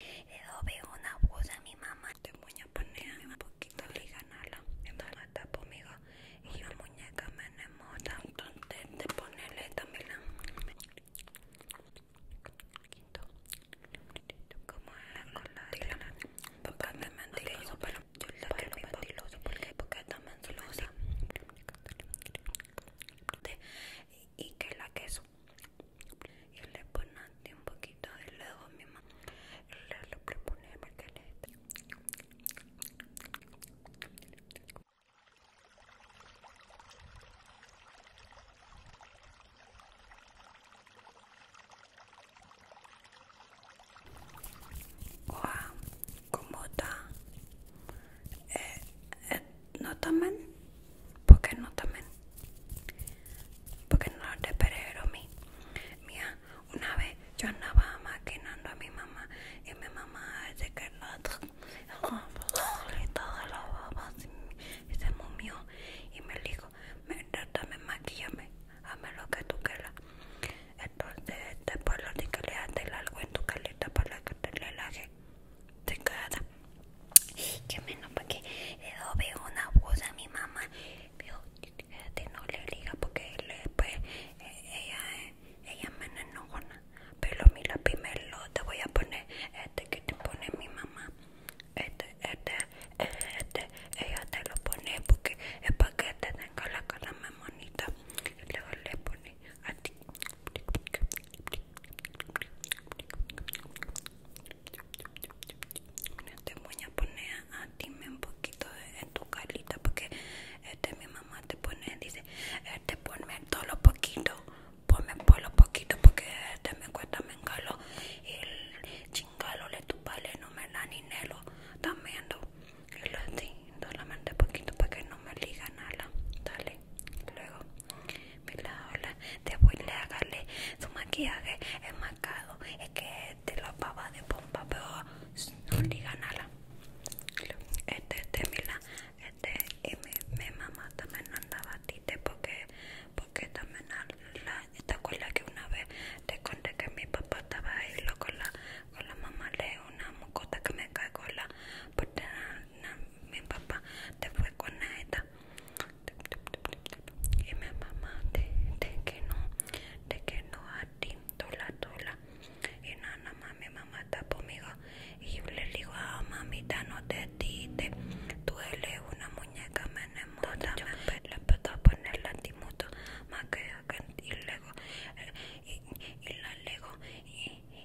Yo veo una voz a mi mamá. Te pone un poquito de ganarla. Mi mamá está y la muñeca me enamora. Entonces te ponerle también la... Como la cola de la... me mentiroso, pero yo la quiero mentiroso. porque Porque está mentirosa. Y que la que y le ponaste un poquito de luego mi mamá le lo propone le wow ¿cómo está? Eh, eh, no ¿Por porque no también? porque no te a mí mía una vez yo andaba maquinando a mi mamá y mi mamá dice que no y y se mumió y me dijo me también maquillame hazme lo que tú quieras entonces después lo que le algo en tu caleta para que te relaje cada. que menos porque le doy una cosa a mi mamá pero no le diga porque después pues, eh, ella eh, ella me enojona pero mi mira primero te voy a poner este que te pone mi mamá este este este ella te lo pone porque es para que te tenga la cara más bonita luego le pone este a ti. Mira, te voy a poner a ti un poquito en tu carita porque este mi mamá te pone, dice, este ponme todo lo poquito, ponme por lo poquito porque este me cuesta me engalo y chingalo le tupale no me la ni nelo también solamente poquito para que no me liga nada, dale Luego, me la te voy le agarré su maquillaje enmarcado, es que te este, lo pava de pompa, pero no diga nada. Este, este, mira, este, y mi, mamá también andaba tite porque, porque también la, te acuerdas que una vez te conté que mi papá estaba ahí con la, con la mamá le una mocota que me cagó la, mi papá te fue con esta y mi mamá de que no de que no a ti tola tola y nada más mi mamá está conmigo y le digo a ah, mamita no te diste tú eres una muñeca me yo le puedo a la más que y luego eh, y, y la lego y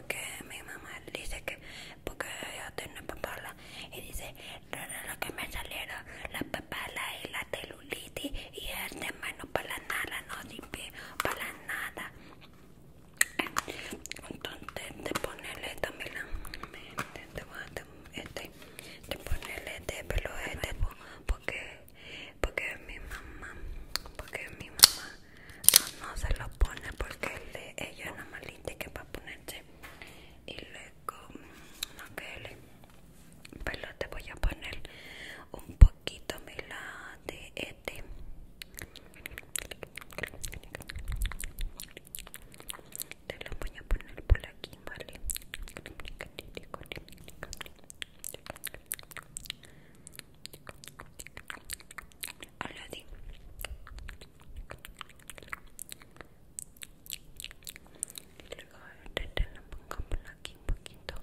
porque mi mamá dice que porque yo tengo papalas y dice lo que me salieron las papalas y la celulitis y el de este mano para nada no sirve para nada entonces de ponerle también este de ponerle de este pelo este porque porque mi mamá porque mi mamá no, se lo pone porque el de ella es una malita que va a ponerse y luego no mm, que pues lo te voy a poner un poquito mira de este te lo voy a poner por aquí vale a Hola, Di. Luego te la pongamos aquí un poquito.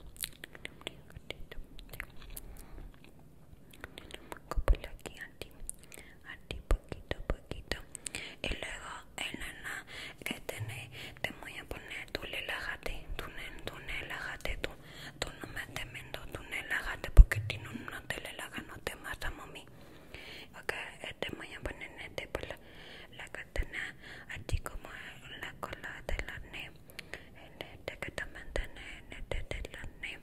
te lo Como aquí a ti, a ti poquito a poquito. Y luego, el que este te voy a poner, tú relájate, tú, tú relájate, tú, no no δεν μείνω porque ελάγατε no te την no τελελάγανο τε μάσα μομή Oka ete maya banana te por la cadena así como la cola de la ne este que te katamanta este ne ene te te este la tiene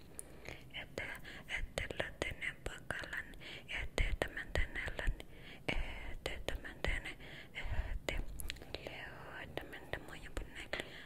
este te la tene pakalan ete te ne este ete tamanta te ete leo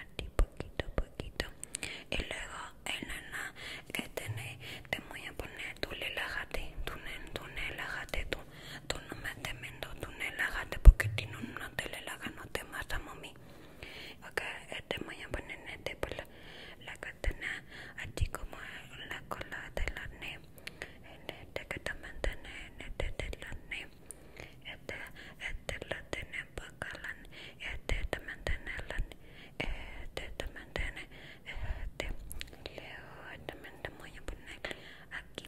aquí poquito poquito y luego el nena este tenés te voy a poner tú relájate tú, tú relájate tú tú no me estés tú tú relájate porque si no no te relajas no te a mami ok eh, te voy a poner este por la, la que tenés así como en la cola de la ne en este que también mantene en te este de la ne este, este la tenemos también tiene, también también tiene, también este, este, este leo también tämän ponen aquí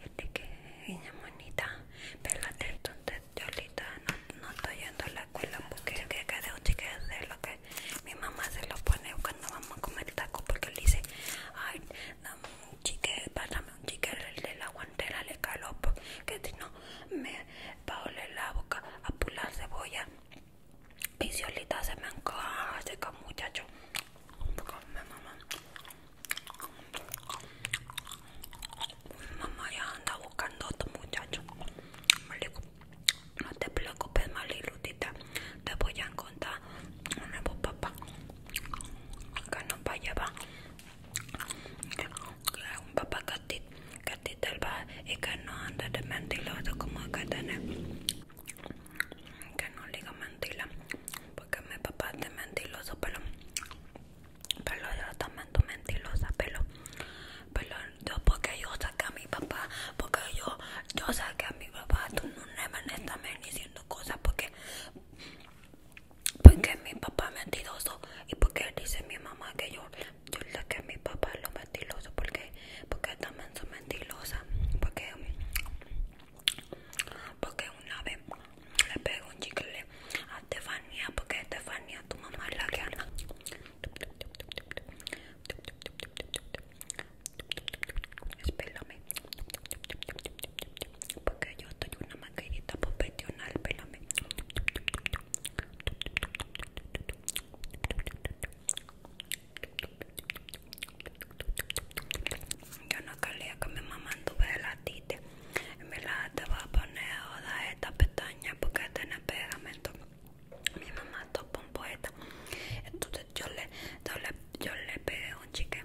ja tekee niña monita pero la entonces yo ahorita no, no estoy yendo a la escuela porque que cada un de lo que mi mamá se lo pone cuando vamos a comer taco porque le dice ay chique, pásame un chique de la guantera, le caló, que si no me va a oler la boca a pular cebolla. Y se me encaja, seca muchacho. Me mamá. Mamá ya anda buscando a otro muchacho. no te preocupes, Malilutita. Te voy a encontrar un nuevo papá. Que nos va a llevar un papá del va y que no anda de mentiroso como como katana que no liga mentiras, porque mi papá es de mentiloso pero pero yo también tu mentilosa pero pero yo porque yo saqué a mi papá porque yo yo saqué a mi papá tú no me estás diciendo cosas porque porque mi papá es mentiroso y porque dice mi mamá que yo yo le que mi papá es lo mentiroso porque porque también soy mentirosa porque porque una vez le pego un chicle a Estefania porque Estefania tu mamá es la que anda espérame porque yo estoy una maquillita profesional, pélame. Yo no quería que mi mamá anduve latite Y En verdad te voy a poner toda esta pestaña porque tiene pegamento. Mi mamá topa un poeta. Entonces yo le, yo le, yo le pegué un chique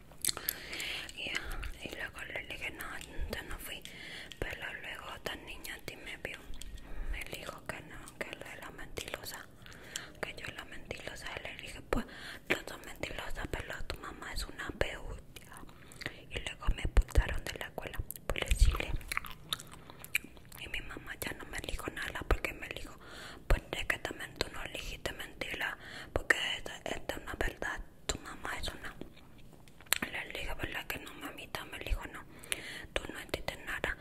y luego le dije no, yo no fui pero luego otra niña ti me vio me dijo que no, que él la mentirosa que yo era mentirosa y le dije pues no son mentirosa pero tu mamá es una beutia y luego me expulsaron de la escuela le decirle y mi mamá ya no me dijo nada porque me dijo porque que también tú no elegiste mentira, porque esta, es una verdad, tu mamá es una. Le dije, ¿verdad? Que no, mamita, me dijo, no, tú no entiendes nada.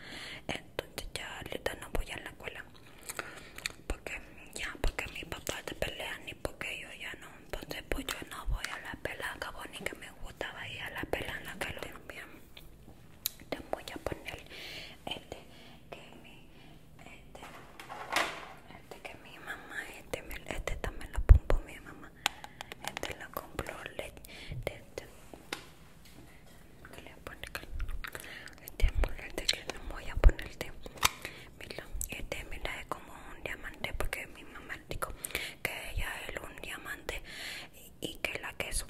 Entonces ya ahorita no voy a la escuela. Porque ya, porque mi papá te pelea, ni porque yo ya no. Entonces pues yo no voy a la pela, acabo ni que me gustaba ir a la pela en la que lo te voy a poner este que mi este, este mamá este, este también lo pongo mi mamá este lo compró este, este que voy a poner este mira este es como un diamante porque mi mamá dijo que ella es un diamante y, que la queso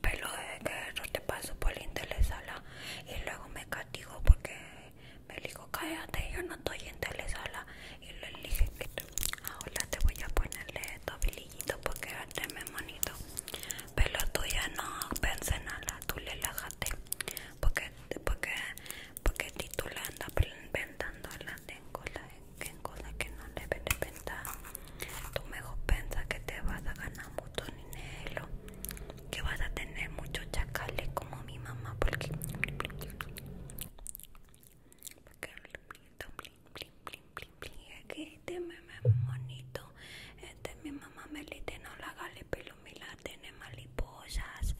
pero es que yo te paso por la y luego me castigo porque me dijo cállate, yo no estoy en sala y le dije que ahora te voy a ponerle estos porque este me monito. Pero tú ya no pensé nada, tú relájate porque, porque, porque tú la andas inventando las en que no debes de pensar, tú mejor piensa que te vas a ganar mucho dinero que vas a tener muchos chacales como mi mamá porque este es muy bonito este mi mamá me le no la gale pelo me la tiene mariposas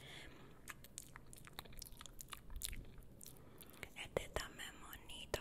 este también bonito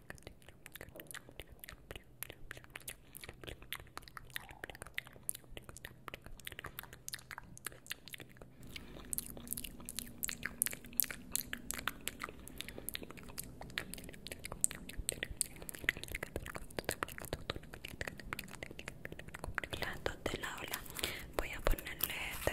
Las dos de la voy a ponerle este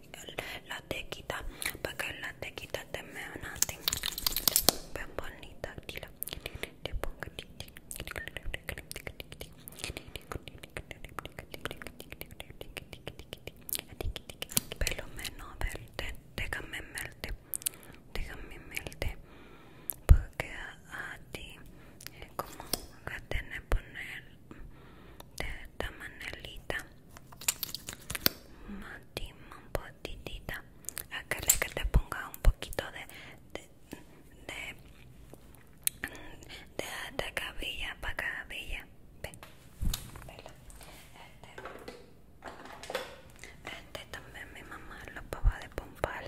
la tequita para que la tequita te me anate bien bonita aquí la te pongo pelo menos verde déjame melte déjame melte porque a ti eh, como que tiene poner de esta manelita matima un poquitita le que te ponga un poquito de de de, de, cabilla para cabilla Ve. Este, este también mi mamá lo acaba de pompar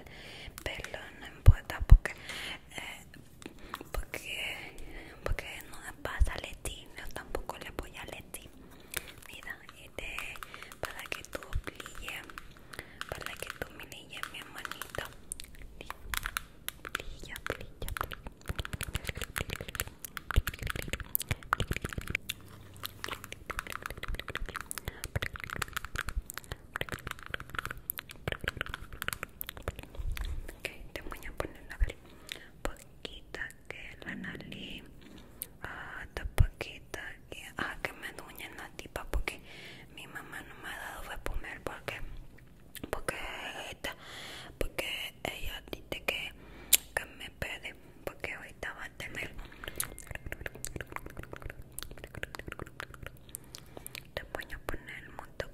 pero no importa porque eh, porque porque no pasa pasa a Leti, yo tampoco le apoya a Leti. Mira, este, para que tú brille, para que tú mi hermanito. Brilla, brilla, brilla. Ok, te voy a poner la quita que la nariz ah, poquita que, a ah, que me duñen la tipa porque mi mamá no me ha dado de comer porque porque esta porque ella dice que, que me pede porque ahorita va a tener te voy a poner mucho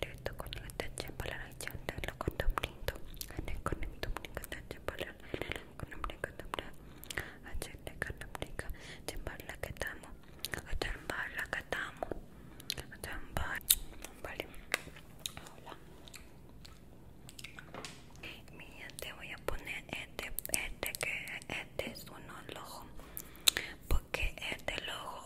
Directo con la tacha para la chanta, la condombrito, en el condombrica, tacha para la condombrica, dobra, a chanta, condombrica, chambar la que estamos, a chambar la que estamos. a chambar, vale, hola. Mira, te voy a poner este, este que este es un ojo, porque este ojo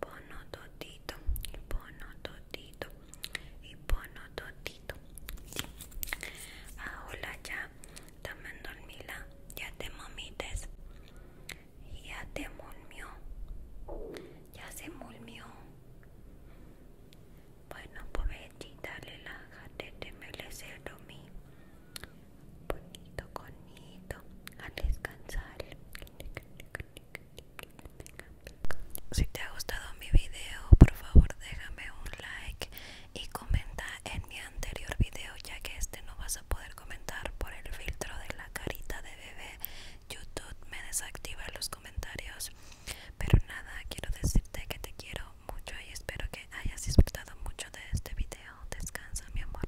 pono totito, y pono totito, y pono totito. Ahora ya también dormila, ya te mamites, ya te mulmió, ya se mulmió. Bueno, pobrecita, relájate, te merece dormir. Bonito, Conito a descansar. Si te ha gustado mi video, por favor déjame un like y comenta en mi anterior video, ya que este no vas a poder comentar por el filtro de la carita de bebé. YouTube me desactiva los comentarios. Pero nada, quiero decirte que te quiero mucho y espero que hayas disfrutado mucho de este video. Descansa, mi amor.